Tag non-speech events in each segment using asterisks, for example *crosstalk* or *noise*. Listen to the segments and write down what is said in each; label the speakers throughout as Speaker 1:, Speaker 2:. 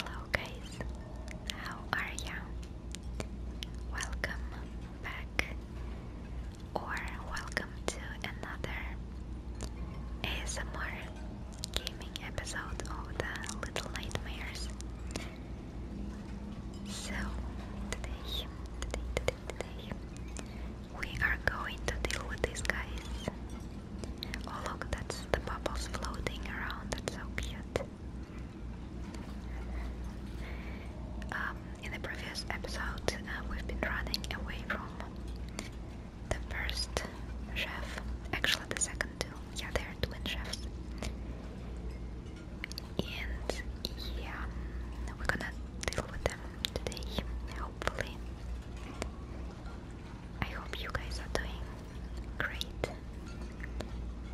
Speaker 1: Hello guys, how are you? Welcome back or welcome to another ASMR gaming episode of the Little Nightmares. So today, today, today, today we are going to deal with these guys Oh look, that's the bubbles floating around. That's so cute. Um, in the previous episode, uh, we've been running away from the first chef. Actually, the second two. Yeah, they're twin chefs. And yeah, we're gonna deal with them today, hopefully. I hope you guys are doing great.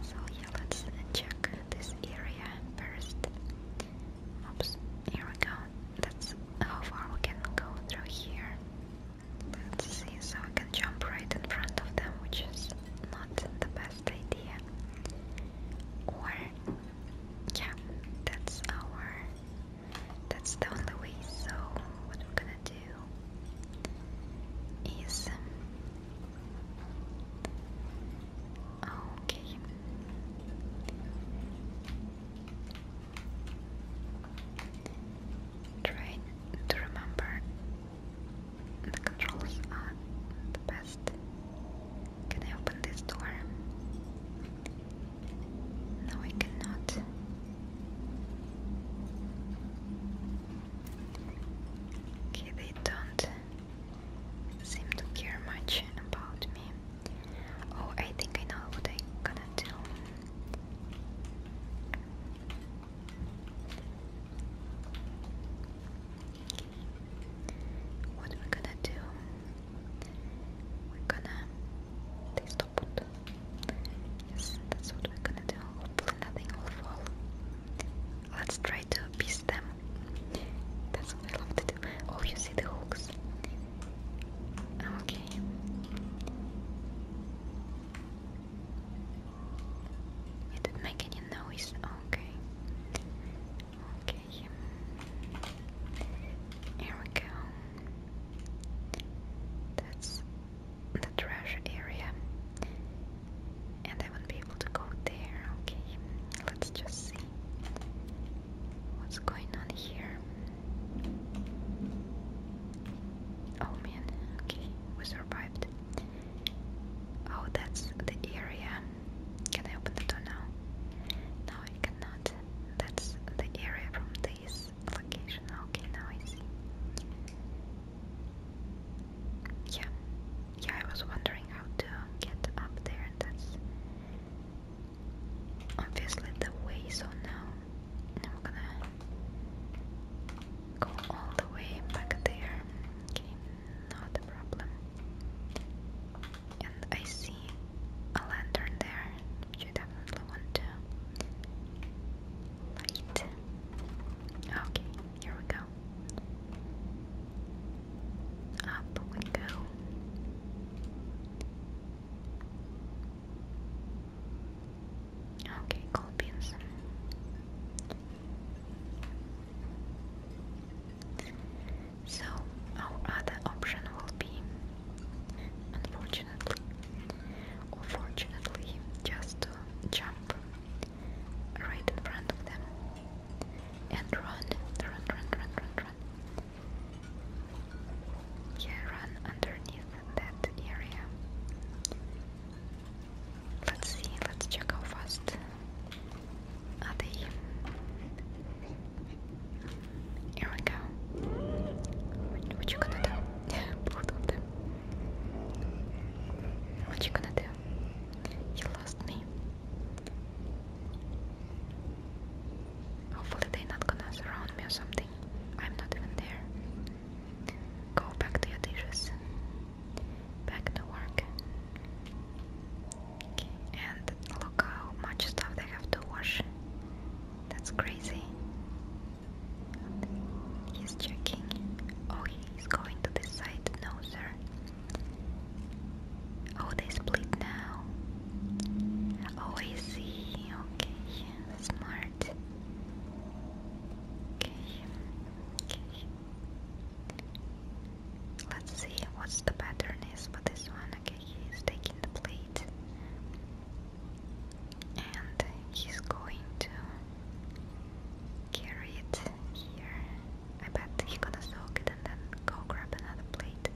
Speaker 1: So yeah, let's check this area first. Oops, here we go. That's how far we can go through here. Let's see, so I can jump right in front of them, which is not the best idea. Or, yeah, that's our, that's the only way, so what we're gonna do do is okay. Try to remember the controls are the best. Can I open this door? No, I cannot. Okay, they don't seem to care much about me. Oh, I think I know what I'm gonna do. What we gonna do? We're gonna. They Yes, that's what we're gonna do. nothing will fall. Let's try to appease them. That's what I love to do. Oh, you see the hooks. Oh, okay. It didn't make any noise. Okay. Okay. Here we go. That's the trash area. And I won't be able to go there. Okay, let's just see what's going on here. Oh man, okay, we survived. Oh, that's the area. Can I open the door now? No, I cannot. That's the area from this this location. Okay, now I see. Yeah, yeah, I was wondering how to get up there. That's obviously the way, so now, now I'm gonna go all the way back there. Okay, not a problem. And I see a lantern there, which definitely want to light. Okay, here we go. Up we go. Okay, gold beans. So, our other option will be, unfortunately, unfortunately just uh, jump right in front of them and run, run, run, run, run, Yeah, run underneath that area. Let's see, let's check how fast are Here we go. What, what *laughs* What you gonna do? You lost me. Hopefully they're not gonna surround me or something. I'm not even there. Go back to your dishes. Back to work. And look how much stuff they have to wash. That's crazy. He's checking. Oh, he's going to the side. No, sir. Oh, they split now. Oh, I see. Okay, smart. Okay, okay. Let's see what's the pattern is for this one. Okay, he's taking the plate and he's going to carry it here. I bet he's gonna soak it and then go grab another plate.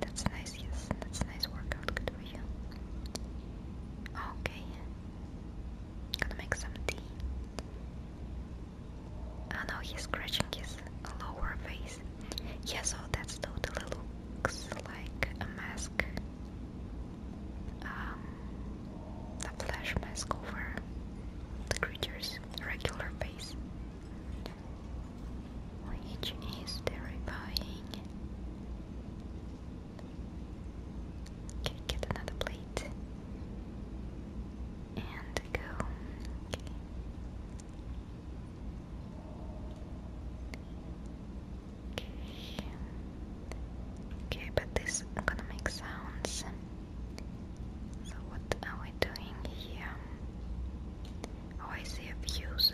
Speaker 1: That's nice, yes, that's a nice workout, good for you. Okay, gonna make some tea. Oh no, he's scratching his lower face. Yeah, so that's totally looks like a mask um, the a flash mask over the creature's regular face, which is terrifying. Okay, get another plate and go. Okay. Okay, but this is gonna make sounds. So what are we doing here? Oh, I see a fuse.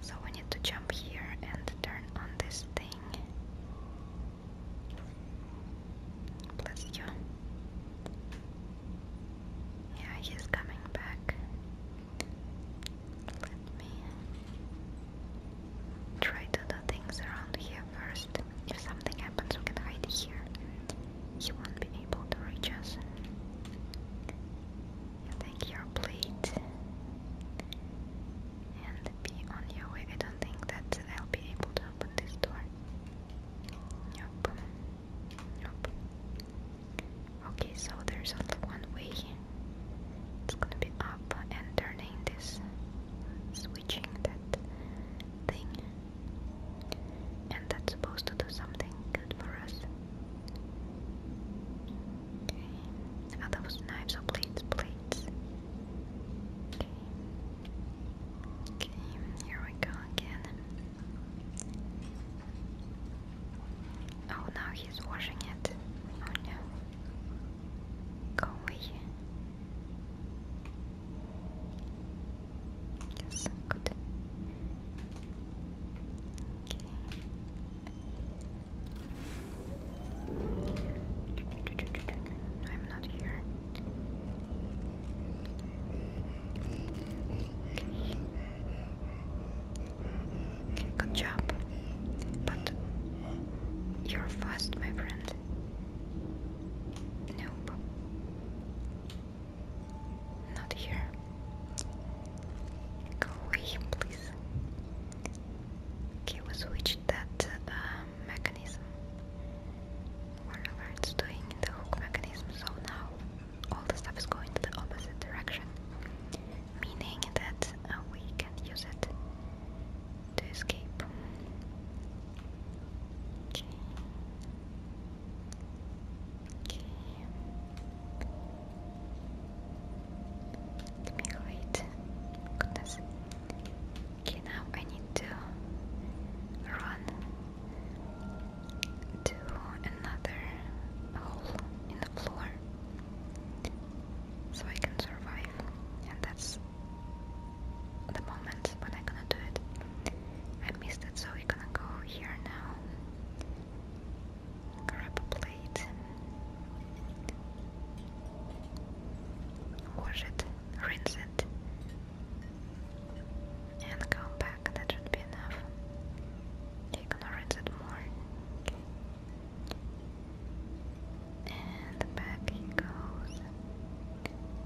Speaker 1: So we need to jump here and turn on this thing. Bless you. Yeah, he's coming back try to do things around here first. If something happens, we can hide here. You won't be able to reach us. You take your and be on your way. I don't think that I'll be able to open this door. Nope. Nope. Okay, so there's only one way. Here it's gonna be up and turning this switching that thing and that's supposed to do something good for us okay knives or plates plates okay okay here we go again Oh, now he's washing it. Oh no. Go away. Yes, good. Okay. I'm not here. Good job. But you're fast, my friend. Nope. Not here. Go away, please. Okay, we switched that uh, mechanism. Whatever it's doing the hook mechanism, so now all the stuff is going to the opposite direction meaning that uh, we can use it to escape. Okay. Okay. Let me wait. Goodness. Okay, now I need to run to another hole in the floor so I can survive, and that's the moment when I'm gonna do it. I missed it, so we're gonna go here now. Grab a plate, wash it, rinse it, and come back. That should be enough. You're gonna rinse it more. And back he goes.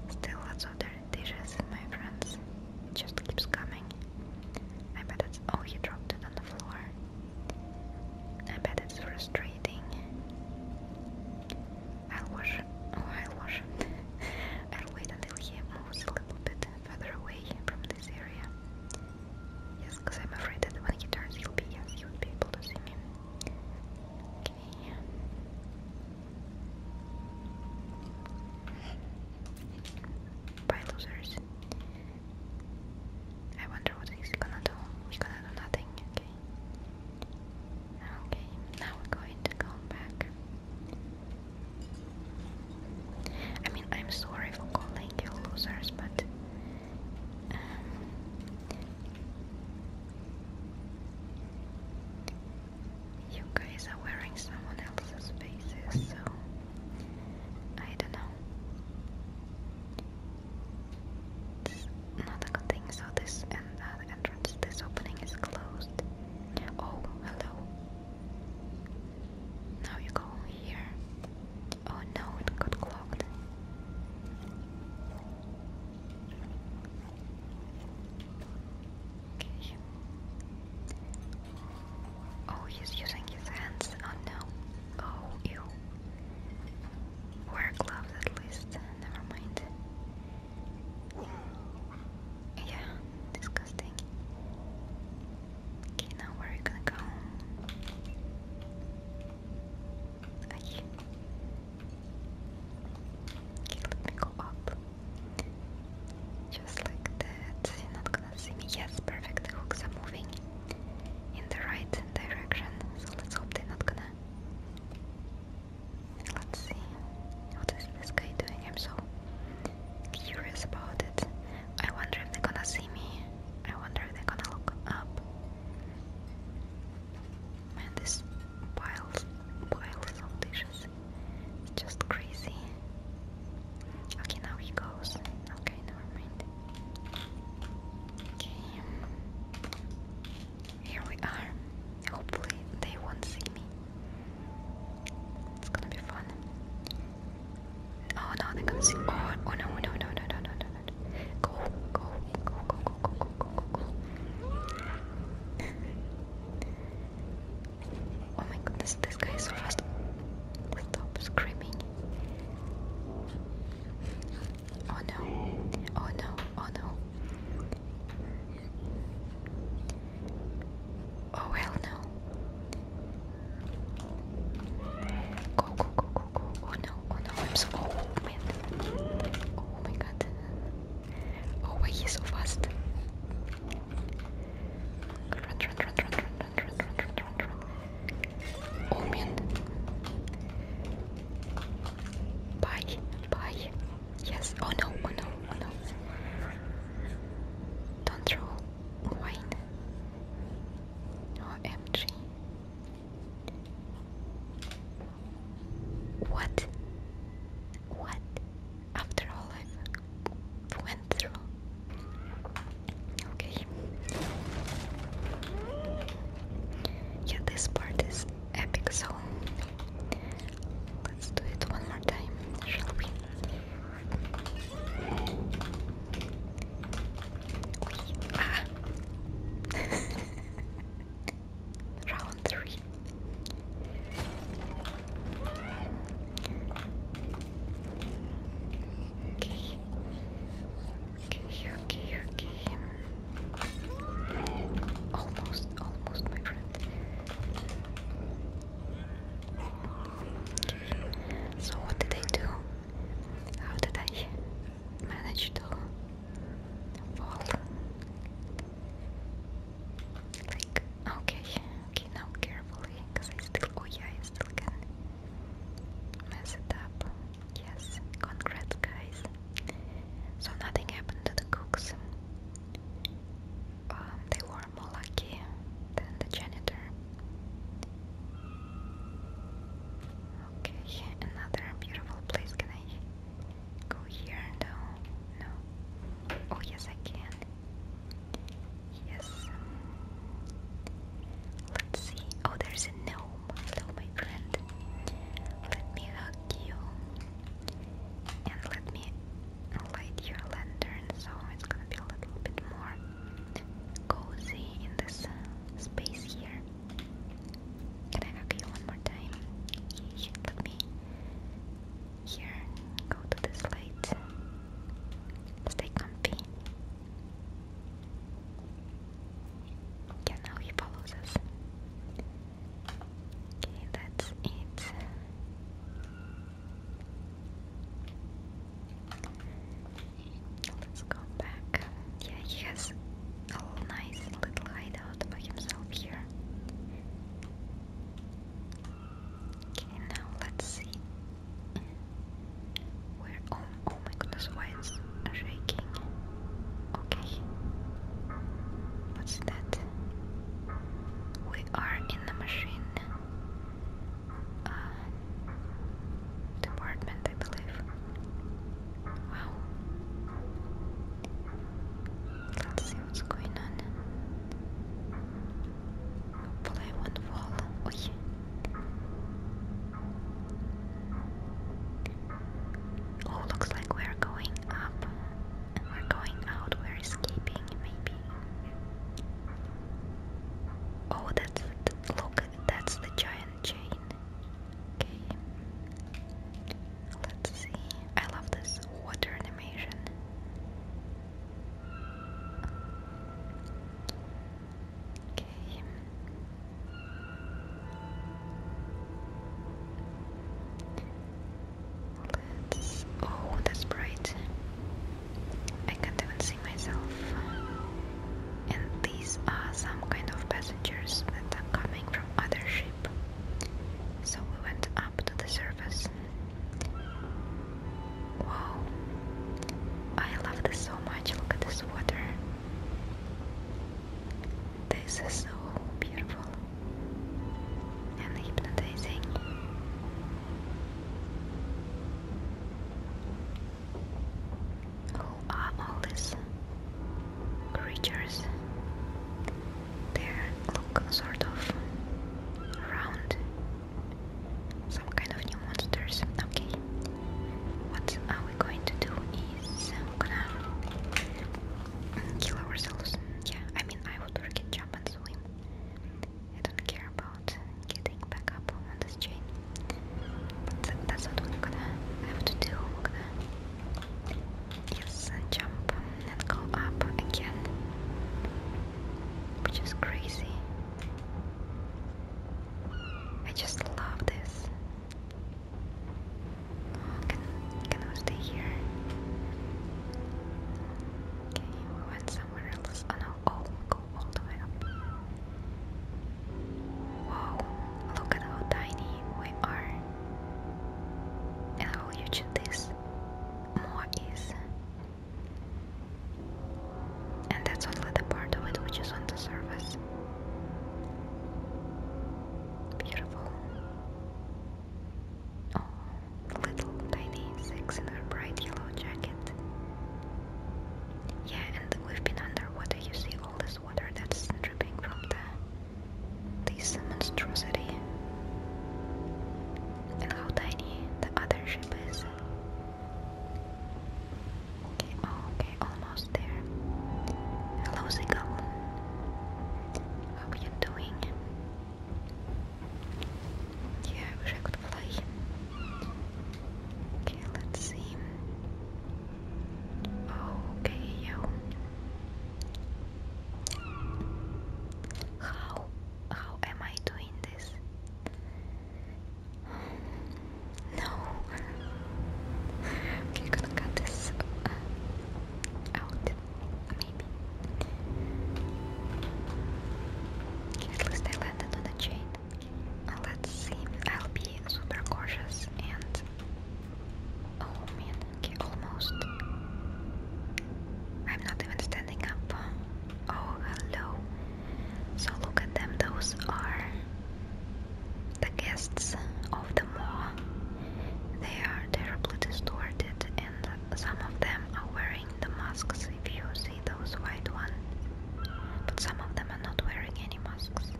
Speaker 1: Still lots of dirty dishes, my friends. just keeps coming. I bet it's. Oh, he dropped it on the floor. I bet it's frustrating. I'll wash. Oh, I'll wash *laughs* I'll wait until he moves a little bit further away from this area. Yes, because I'm afraid that when he turns, he'll be yes, you would be able to see me. Bye, losers. I wonder what he's gonna do. He's gonna do nothing, okay? Okay, now we're going to go back. I mean, I'm sorry for calling you losers, but um, you guys are wearing someone else's faces, so I don't know. It's not a good thing. So this entrance, this opening is closed. Oh, hello. Now you go here. Oh no, it got clogged. Oh, he's using his hands. Oh no. Oh, ew. Wear gloves at least. Never mind. Yeah, disgusting. Okay, now where are you gonna go? Aye. Okay, let me go up. Just like that. You're not gonna see me. Yes, perfect. The hooks are moving in the right direction. So let's hope they're not gonna. Let's see. What is this guy doing? I'm so curious about it. I wonder if they're gonna see me. I wonder if they're gonna look up. Man, this piles, piles of dishes. It's just crazy. Okay, now he goes. Okay, never mind. Okay. Here we are. Hopefully they won't see me. It's gonna be fun. Oh no, they're coming. Oh, oh no, no, no, no, no, no, no, no. Go, go, go, go, go, go, go, go, go. oh my goodness, this guy is so fast. Stop screaming. Oh no, oh no, oh no. Oh well, no. Go, go, go, go, go, go. Oh no, oh no, I'm so. Oh man. Oh my god. Oh, why he's so fast? Run, run, run, run, run, run, run, run, run, run. Oh man. Bye, bye. Yes. Oh no, oh no, oh no. Don't throw wine. OMG. What? What? After all I've went through. Okay. Yeah, this part is epic, so let's do it one more time, shall we? Ah. *laughs* Round three. Okay. Okay, okay, okay. Almost, almost, my friend. Okay. So, what did they do? How did I manage to fall? Like, okay, okay, now carefully, because I still, oh yeah, I still can mess it up. Yes, congrats, guys. So nothing happened to the cooks. Um, they were more lucky than the janitor. Okay, another beautiful place. Can I go here? No, no. Oh, yes, I can. Yes. Let's see. Oh, there's a gnome. Hello, my friend. Let me hug you. And let me light your lantern so it's gonna be a little bit more cozy in this space here. Can I hug you one more time? You me here. Go to this light. Stay comfy. Yeah, now he follows us. Okay, that's it. Let's go back. Yeah, he has a nice little hideout by himself here. Okay, now let's see. Where? Oh, oh my goodness, why it's shaking? Okay. What's that? We are in the machine. Uh, department, I believe. Wow. Let's see what's going on. Hopefully I won't fall. Oh yeah. Oh, looks like we're going up we're going out. We're escaping, maybe. Oh, that's look. That's the giant Mary Okay. Let's see. I love this water animation. Okay. Oh, that's bright. I can't even myself. And these are some kind of passengers that are coming from other ship. So we went up to the surface. Wow. I love this so much. Look at this water. This is so beautiful and hypnotizing. Who all these creatures? They look sort of round. Some kind of new monsters. Okay. What are we going to do is we're gonna kill ourselves. Yeah, I mean I would forget jump and swim. I don't care about getting back up on this train. But that's what we're gonna have to do. we uh, jump and go up again, which is crazy. I just love this. Oh, can we stay here? Okay, we went somewhere else. Oh no! Oh, go Wow, look at how tiny we are and how huge this is. And that's only the part of it which is on the surface. Beautiful. Oh, little tiny insects in her bright yellow jacket. Yeah, and we've been underwater. You see all this water that's dripping from the this monstrosity, and how tiny the other ship is. Okay, oh, okay, almost there. Hello, Seagull. How are you doing? Yeah, wish I could fly. Okay, let's see. Okay, yo. How how am I doing this? No. we gonna cut this out, maybe. Okay, at least I landed on a chain. Let's oh, see. I'll be super cautious and. Oh man, okay, almost. I'm not even standing up. Oh, hello. So, look at them. Those are the guests of the mall. They are terribly distorted, and some of them are wearing the masks. If you see those white ones, but some of them are not wearing any masks.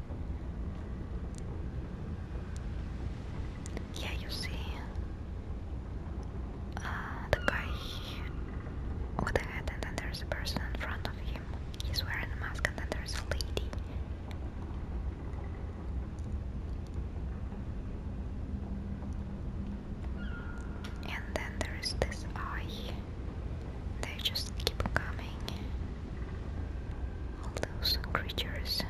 Speaker 1: Here you see uh, the guy with the head, and then there's a person in front of him. He's wearing a mask, and then there's a lady. And then there is this eye. They just keep coming. All those creatures.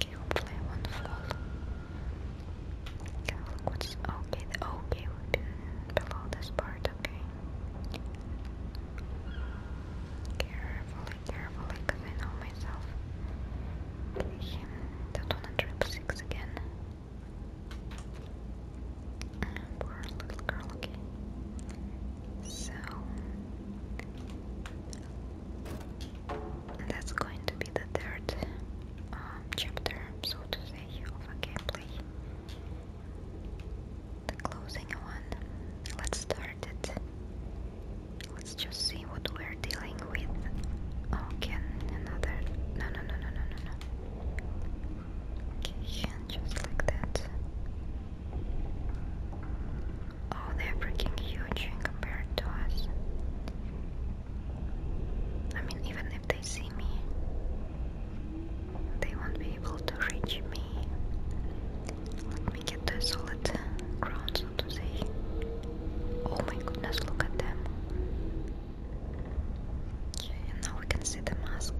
Speaker 1: Hopefully, I won't fall. Can okay? okay below this part, okay? Carefully, carefully, because I know myself. don't wanna drop six again poor little girl, okay. So that's going to be the third um, chapter, so to say, of a gameplay. The closing one. Let's start it. Let's just see what we're dealing with. Oh, another. no, no, no, no, no, no just like that. Oh, they're freaking huge compared to us. I mean, even if they see me, they won't be able to reach me. Let me get the solid ground, so to say. Oh my goodness, look at them. Okay, now we can see the mask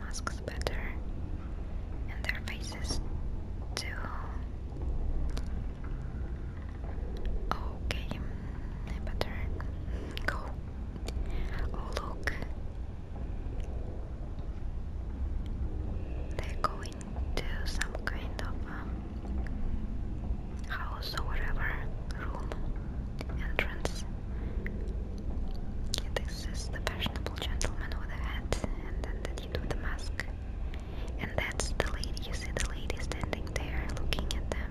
Speaker 1: masks better and their faces too. Okay, better go. Oh, look, they're going some kind of um, house or whatever room entrance. This is the fashionable gentleman with the hat, and then the dude with the mask. And that's the lady. You see the lady standing there looking at them.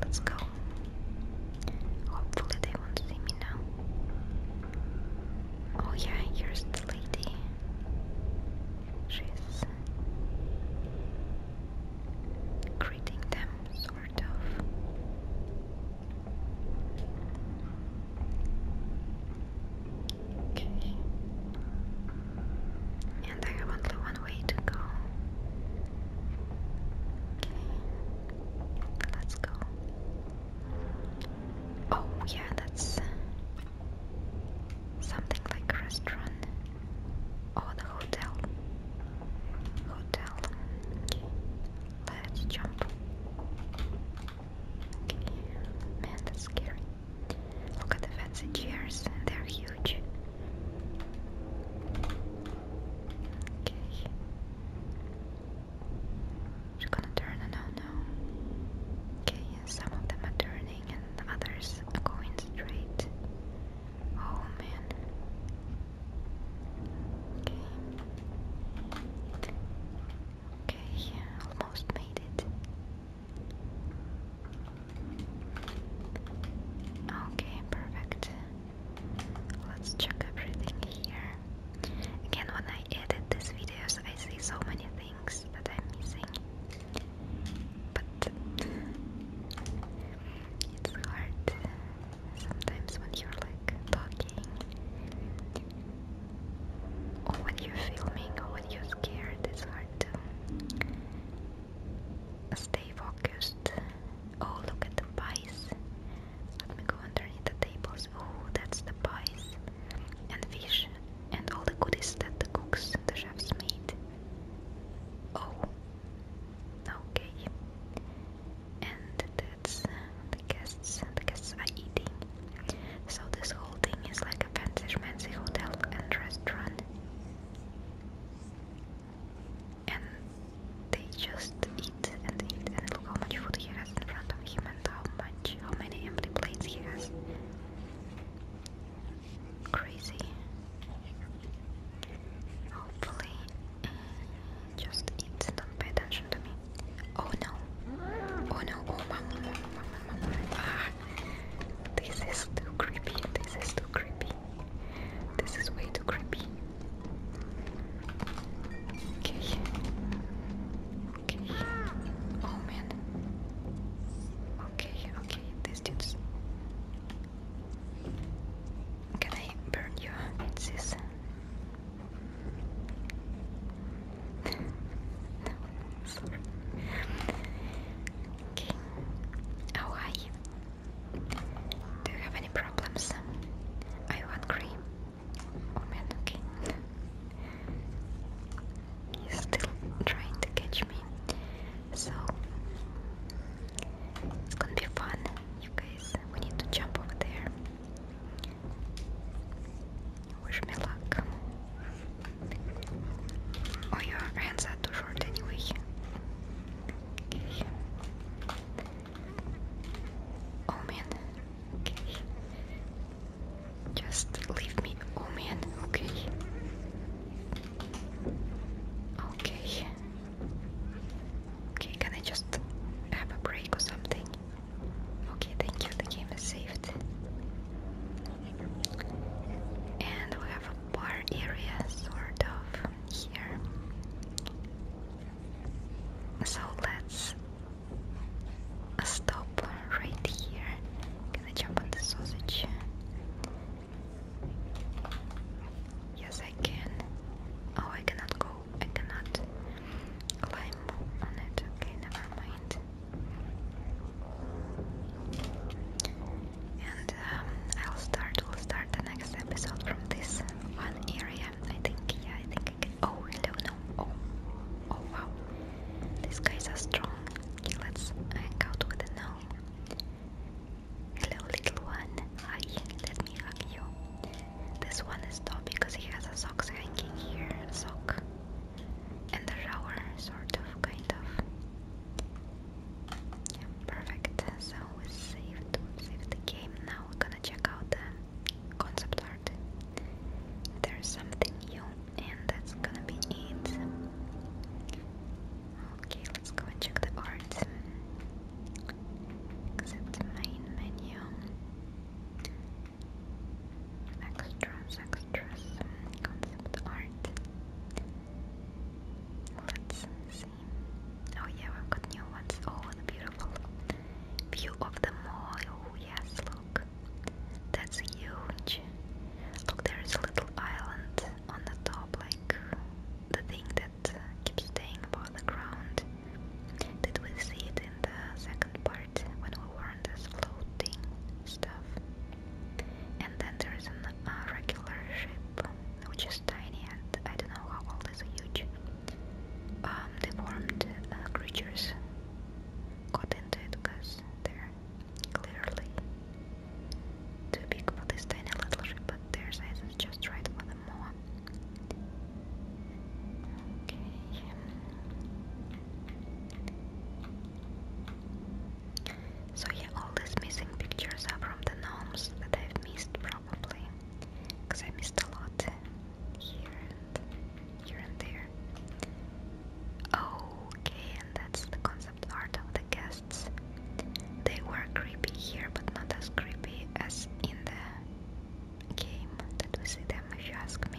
Speaker 1: let's go. Hopefully they won't see me now. Oh yeah, here's the lady. She's greeting them, so Okay. And I have only one way to go. Okay. Let's go. Oh, yeah, that's something like a restaurant or oh, the hotel. Hotel. Okay. Let's jump. man, that's scary. Look at the fancy chairs, they're huge. Okay. She's gonna turn and oh no. Okay, some of them are turning and others are going straight. Oh man. Okay, yeah, almost made it. Okay, perfect. Let's check everything here. Again, when I edit these videos, I see so many things that I'm missing. But it's hard sometimes when you're like talking or when you're filming or when you're scared, it's hard to stay focused. Oh, look at the pies. Let me go underneath the tables. Oh, that's the pies and fish and all the goodies that the cooks, the chefs made. Oh, okay. And the the guests, the guests are eating. So this whole thing is like a fancy fancy hotel and restaurant. And they just eat and eat and look how much food he has in front of him and how much, how many empty plates he has. Crazy. Hopefully just don't pay attention to me. Oh no. Oh no, oh mama, ah. this is too creepy, this is too creepy. This is way too creepy. Okay. Okay. Oh man. Okay, okay, this dude's. Can I burn you? It's no, Okay. How are Do you have any problems? I want cream. Oh man, okay. He's still trying to catch me. So it's gonna be fun. You guys, we need to jump over there. Wish me luck. Oh, your hands are too short anyway. Oh man. Okay. Just leave me. Oh man. Okay. Okay. Okay, can I just have a break or something? Okay, thank you, the game is saved. And we have a bar area, sort of, here. So let's stop right here. Can I jump on the sausage? Yes, I can. Oh, I cannot go I cannot climb on it. Okay, never mind. And um, I'll start. We'll start the next episode from this one area. I think. Yeah, I think. Oh, hello, no. Oh, oh wow. These guys are strong. Okay, let's hang out with the gnome. Hello, little one. Hi. Let me hug you. This one is top because he has a socks hanging here, sock, and the shower, sort of, kind of. Yeah, perfect. So we saved, saved the game. Now we're gonna check out the concept art. There's something new, and that's gonna be it. Okay, let's go and check the art. Because it's the main menu. Extras, extras, concept art. Let's see. Oh yeah, we've got new ones. Oh, the beautiful view of the mall. Oh yes, look. That's huge. Look, there is a little island on the top, like the thing that that keeps staying above the ground. Did we see it in the second part when we were on this floating stuff? And then there is an regular ship, which is tiny and I don't know how old is a huge. Um, deformed uh, creatures got into it because they're clearly too big for this tiny little ship, but their size is just right for them. So yeah, all these missing pictures are from the gnomes that I've missed probably. Because I missed a lot here and here and there. Okay, and that's the concept art of the guests. They were creepy here, but not as creepy as in the game that we see them if you ask me.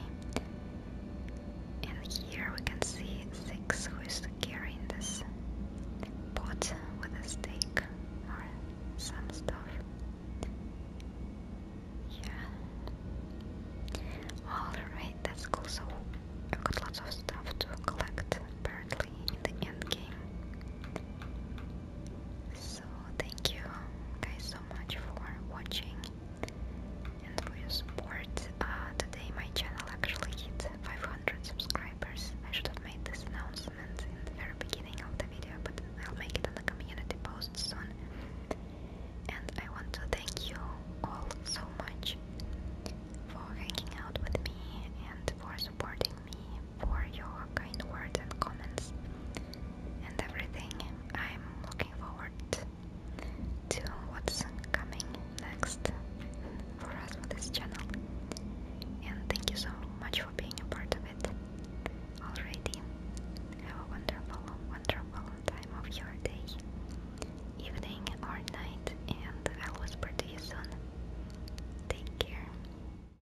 Speaker 1: And here we can see Six who is carrying this pot with a steak or some stuff. Yeah. Alright, that's cool. So I've got lots of stuff to collect apparently in the end game. So thank you guys so much for watching and for your support. Uh, today my channel actually hit 500 subscribers. I should have made this announcement in the very beginning of the video, but I'll make it on the community post soon. And I want to thank you all so much for hanging out with me and for supporting me for your kind words and comments and everything. I'm looking forward to what's coming next for us on this channel. And thank you so much for being a part of it already. Have a wonderful, wonderful time of your day, evening, or night, and I'll whisper to you soon. Take care.